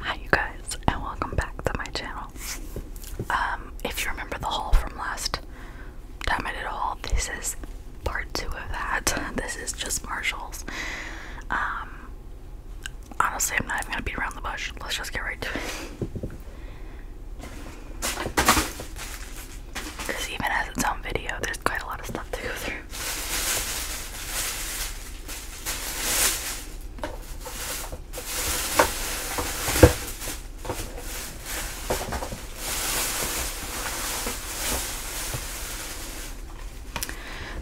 Hi you guys and welcome back to my channel. Um, if you remember the haul from last time I did a haul, this is part two of that. This is just Marshalls. Um, honestly, I'm not even gonna beat around the bush. Let's just get right to it. Because even as its own video, there's quite a lot of stuff to go through.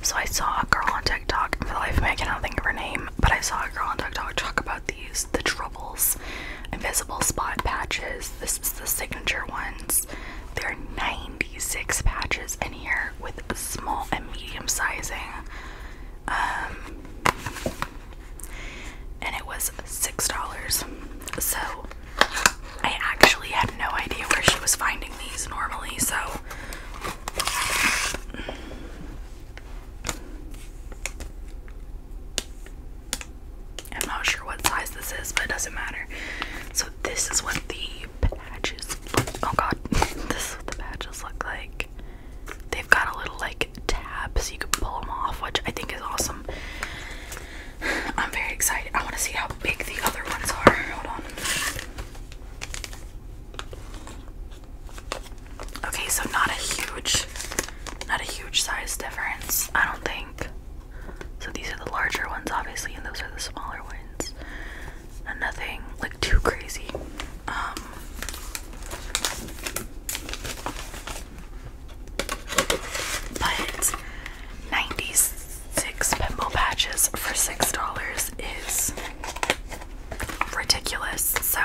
So I saw a girl on TikTok, for the life of me, I cannot think of her name, but I saw a girl on TikTok talk about these, the troubles, invisible spot patches. This is the signature ones. There are 96 patches in here with small and medium sizing. Um, and it was $6. So I actually had no idea where she was finding these normally, so. I'm not sure what size this is, but it doesn't matter. So, this is what the badges oh god, this is what the badges look like. They've got a little like tab you can pull them off, which I think is awesome. I'm very excited. I want to see how big the other ones are. Hold on. Okay, so not a huge not a huge size difference, I don't think. So these are the larger ones obviously and those are the smaller ones and nothing like too crazy. Um, but 96 pimple patches for $6 is ridiculous. So,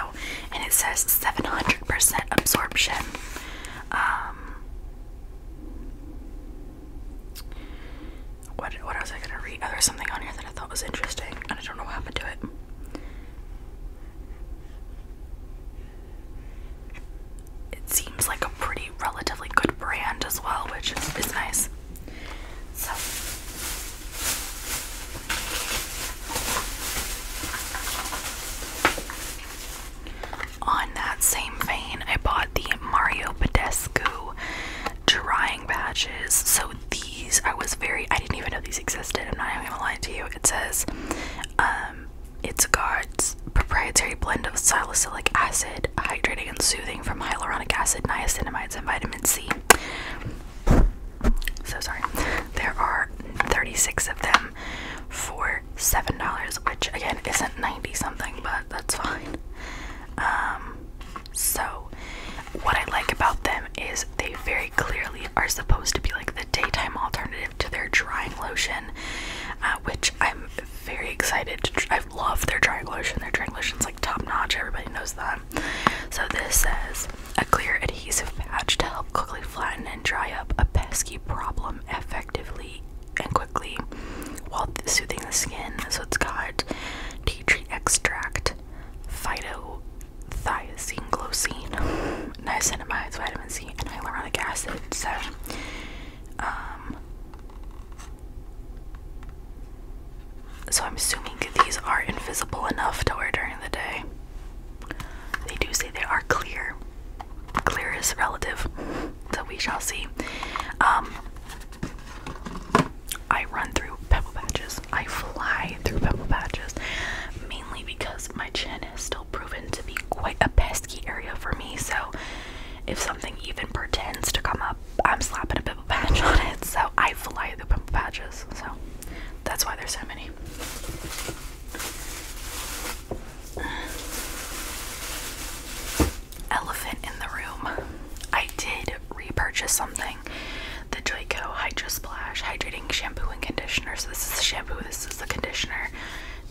and it says 700% absorption. Um, what what was I gonna read? Oh, something on here that I thought was interesting, and I don't know what happened to it. It seems like a pretty relatively good brand as well, which is, nice. on that same vein, I bought the Mario Badescu drying patches. So these, I was very, I didn't even know these existed. I'm not even gonna lie to you. It says, um, it's Guard's proprietary blend of salicylic acid, hydrating and soothing from hyaluronic acid, niacinamide, and vitamin C. So sorry. There are 36 of them for $7, which again isn't 90 something, but that's fine. Um, so, what I like about them is they very clearly are supposed to be like the daytime alternative to their drying lotion, uh, which I'm very excited I love their drying lotion. Their drying lotion's like top notch. Everybody knows that. So this says a clear adhesive patch to help quickly flatten and dry up a pesky problem effectively and quickly while soothing the skin. So it's got tea tree extract, phytothiazine, glosine, niacinamide, vitamin C, and hyaluronic acid. So, um, so I'm assuming these are invisible enough to wear during the day. They do say they are clear. Clear is relative so we shall see. Um, I run through pebble patches. I fly through pebble patches, mainly because my chin is still proven to be quite a pesky area for me. So if something even pretends to come up, I'm slapping a pebble patch on it. So I fly through pebble patches. So that's why there's so many. Elephant in the room. I did repurchase something. The Joico Hydro Splash Hydrating Shampoo and Conditioner. So this is the shampoo, this is the conditioner.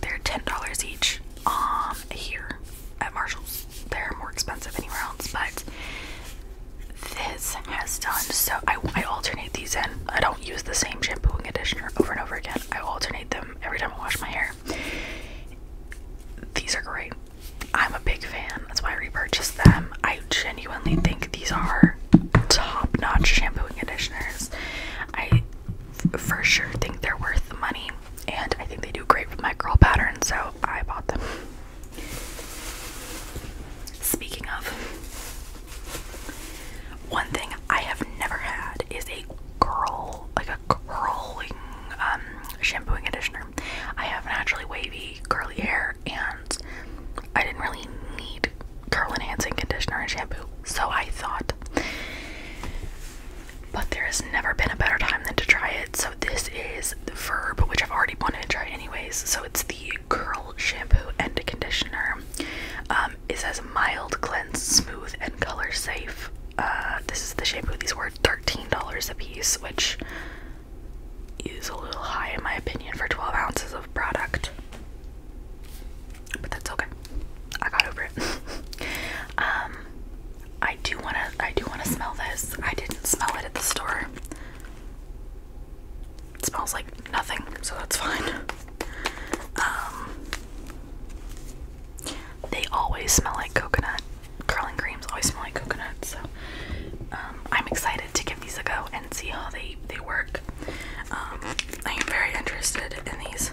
They're $10 each um here at Marshall's. They're more expensive anywhere else, but this has done so I, I alternate these in. I don't use the same shampoo and conditioner over and over again. I alternate them every time I wash my hair. These are great. I'm a big fan. That's why I repurchase them. I genuinely think these are top-notch shampoo and conditioners. I for sure think they're worth the money, and I think they do great with my curl pattern, so I bought them. Speaking of, one thing I have never had is a curl, like a curling um, shampoo and conditioner. I have naturally wavy, curly hair, and I didn't really need curl enhancing conditioner and shampoo, so I thought. But there has never been a better time than to try it. So this is the Verb, which I've already wanted to try anyways. So it's the curl shampoo and conditioner. Um, um, it says mild, cleanse, smooth, and color safe. Uh, this is the shampoo. These were $13 a piece, which is a little high in my opinion for 12 ounces of product. But that's okay. I got over it. um, I do wanna, I do wanna smell this. I didn't smell it at the store. It smells like nothing, so that's fine. Um, they always smell like coconut. Curling creams always smell like coconut, so um, I'm excited to give these a go and see how they they work. Um, I am very interested in these.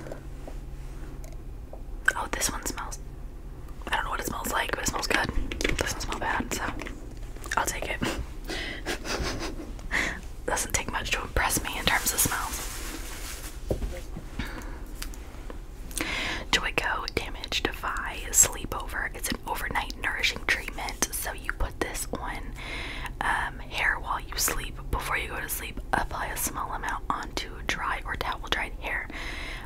Oh, this one smells. I don't know what it smells like, but it smells good. It doesn't smell bad, so I'll take it. doesn't take much to impress me in terms of smells. Joico Damage Defy Sleepover. It's an overnight nourishing treatment. So you put this on um, hair while you sleep. Before you go to sleep, apply a small amount onto dry or towel dried hair.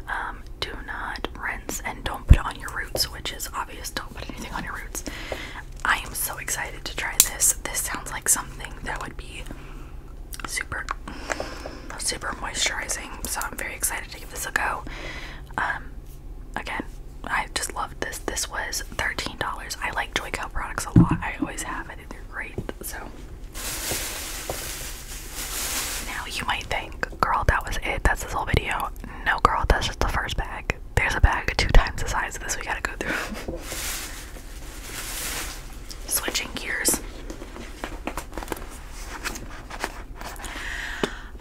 Um, do not rinse and don't put it on your roots, which is obvious. Don't put anything on your roots. I am so excited to try this. This sounds like something that would be super, super moisturizing. So I'm very excited to give this a go. Um, again, I just loved this. This was $13. I like Joyco products a lot. I always have. it. think they great. So now you might think, girl, that was it. That's this whole video. No, girl, that's just the first bag there's a bag two times the size of this we gotta go through. Switching gears.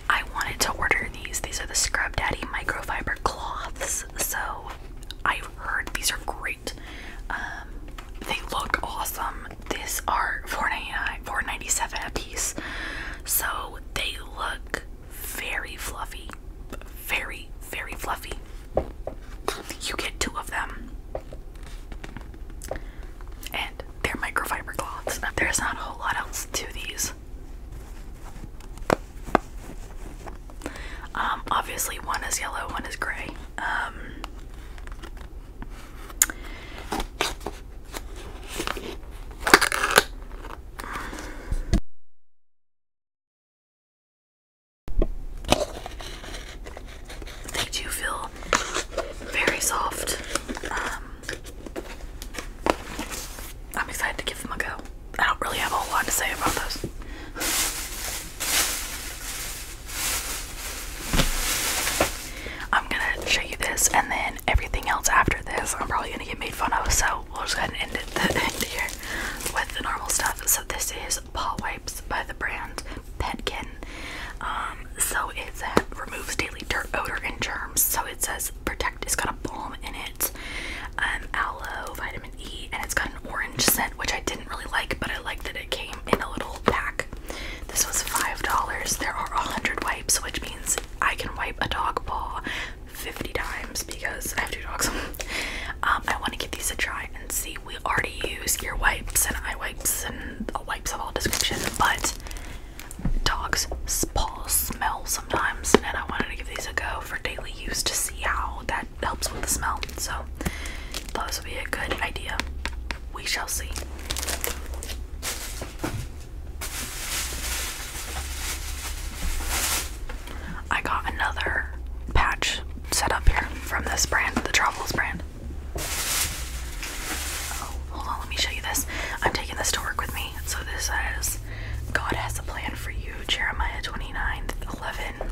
I wanted to order these. These are the Scrub Daddy microfiber cloths. So I've heard these are great. Um, they look awesome. These are 4 dollars a piece. So they look very fluffy. Very, very fluffy. You get two of them. And they're microfiber cloths. There's not a whole lot else to these. Um, obviously, one is yellow, one is gray. Um, they do feel very soft. Um, I'm excited to give them a go. I don't really have a whole lot to say about those. I'm gonna show you this and then everything else after this I'm probably gonna get made fun of, so we'll just go ahead and end it here with the normal stuff. So this is paw wipes by the brand Petkin. Um, so it removes daily dirt odor and germs. So it says protect. It's got a balm in it, um, aloe, vitamin E, and it's got an orange scent, which I didn't really like, but I like that it came in a little pack. This was five dollars. There are a hundred wipes, which means I can wipe a dog paw 50 times because I have two dogs. Um, I want to give these a try and see. We already use ear wipes and eye wipes and wipes of all descriptions, but dogs' paws smell sometimes, and I wanted to give these a go for daily use to see how that helps with the smell. So, thought this would be a good idea. We shall see. I got another patch set up here from this brand, the Travels brand. Oh, hold on, let me show you this. I'm taking this to work with me. So this says, God has a plan for you, Jeremiah 29th, 11.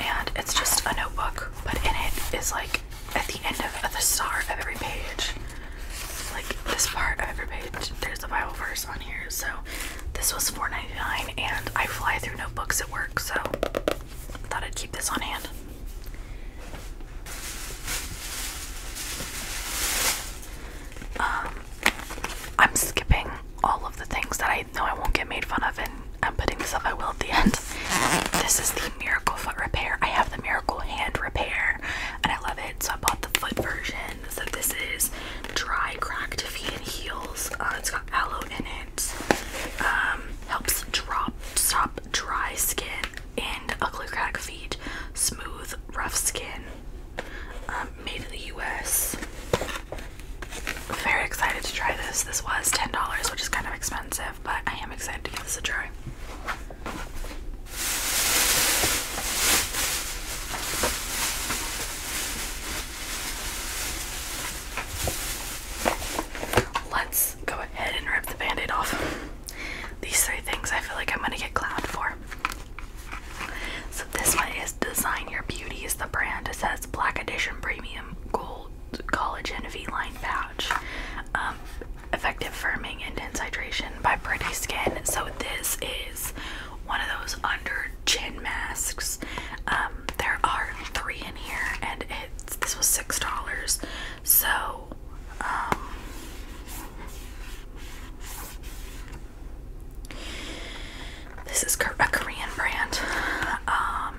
And it's just a notebook, but in it is like at the end of the star of every page, like this part of every page, there's a Bible verse on here. So this was $4.99 and I fly through notebooks at work, so I thought I'd keep this on hand. Um, I'm skipping all of the things that I know I won't get made fun of, and I'm putting this up. I will at the end. This is the Miracle Foot Repair. I have the Miracle Hand Repair, and I love it. So I bought the foot version, so this is dry cracked feet and heels. Uh, it's got aloe in it. Um, helps drop stop dry skin and ugly crack feet. Smooth rough skin. Um, made in the U.S. Very excited to try this. This was ten dollars, which is kind of expensive, but I am excited to give this a try. Let's go ahead and rip the band aid off. These three things I feel like I'm gonna get clowned for. So, this one is Design Your Beauty, is the brand. It says Black Edition Premium Gold Collagen V Line Pouch. Um, effective firming intense hydration by pretty skin so this is one of those under chin masks um, there are three in here and it's this was six dollars so um, this is a Korean brand. Um,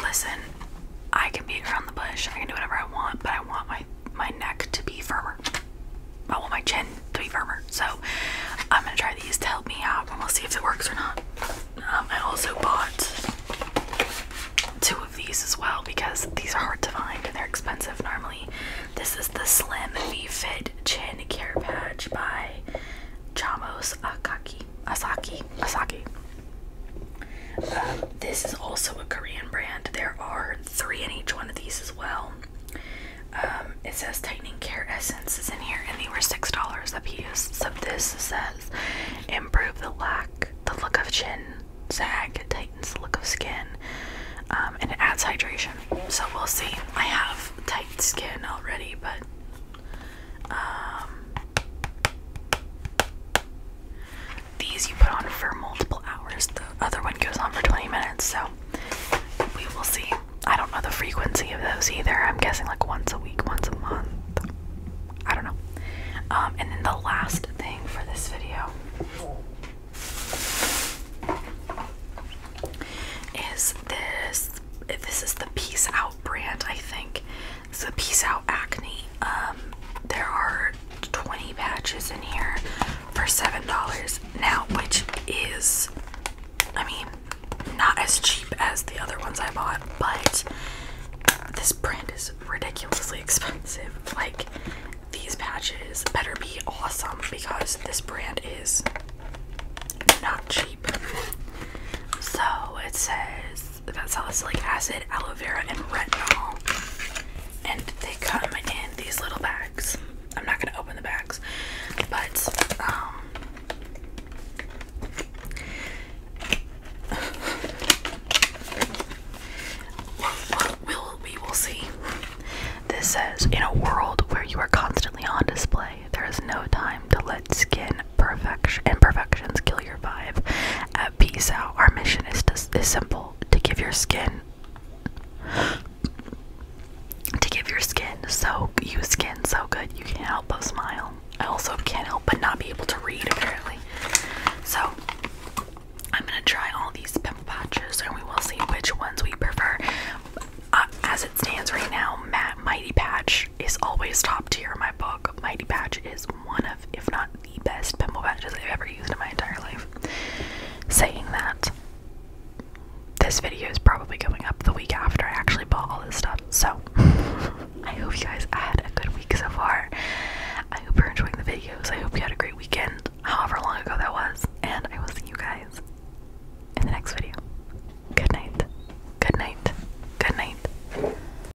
listen, I can beat around the bush. I can do whatever I want, but I want my my neck to be firmer. I oh, want my chin to be firmer. So I'm gonna try these to help me out and we'll see if it works or not. Um, I also bought two of these as well because these are hard to find and they're expensive normally. This is the Slim V-Fit Chin Care Patch by Chamos Akaki. Asaki. Asaki. Um, this is also a Korean brand. There are three in each one of these as well. Um, it says tightening care essence is in here, and they were six dollars a piece. So this says improve the lack, the look of chin sag, tightens the look of skin, um, and it adds hydration. So we'll see. I have tight skin already, but um, these you put on for multiple hours. The other one goes on for 20 minutes, so we will see. I don't know the frequency of those either. I'm guessing like once a week, once a month. I don't know. Um, and then the last thing for this video is this. This is the Peace Out brand, I think. It's the Peace Out Acne. Um, there are 20 patches in here for $7 now, which is, I mean, not as cheap as the other ones I bought, but this brand is ridiculously expensive. Like, these patches better be awesome because this brand is not cheap. So it says with about salicylic acid, aloe vera, and retinol. And they come in these little bags. I'm not gonna open the bags, but um we'll, see. This says, in a world where you are constantly on display, there is no time to let skin imperfections kill you your vibe. At Peace Out, our mission is, to, is simple to give your skin. To give your skin so you skin so good you can't help but smile. I also can't help but not be able to read apparently. So I'm gonna try all these pimple patches and we will see which ones we prefer. Uh, as it stands right now, Matt Mighty Patch is always top tier in my book. Mighty Patch is one of, if not the best pimple patches I've ever used in my entire life. Saying that, this video is probably going up the week after I actually bought all this stuff, so I hope you guys had a good week so far. I hope you're enjoying the videos. I hope you had a great weekend, however long ago that was, and I will see you guys in the next video. Good night. Good night. Good night.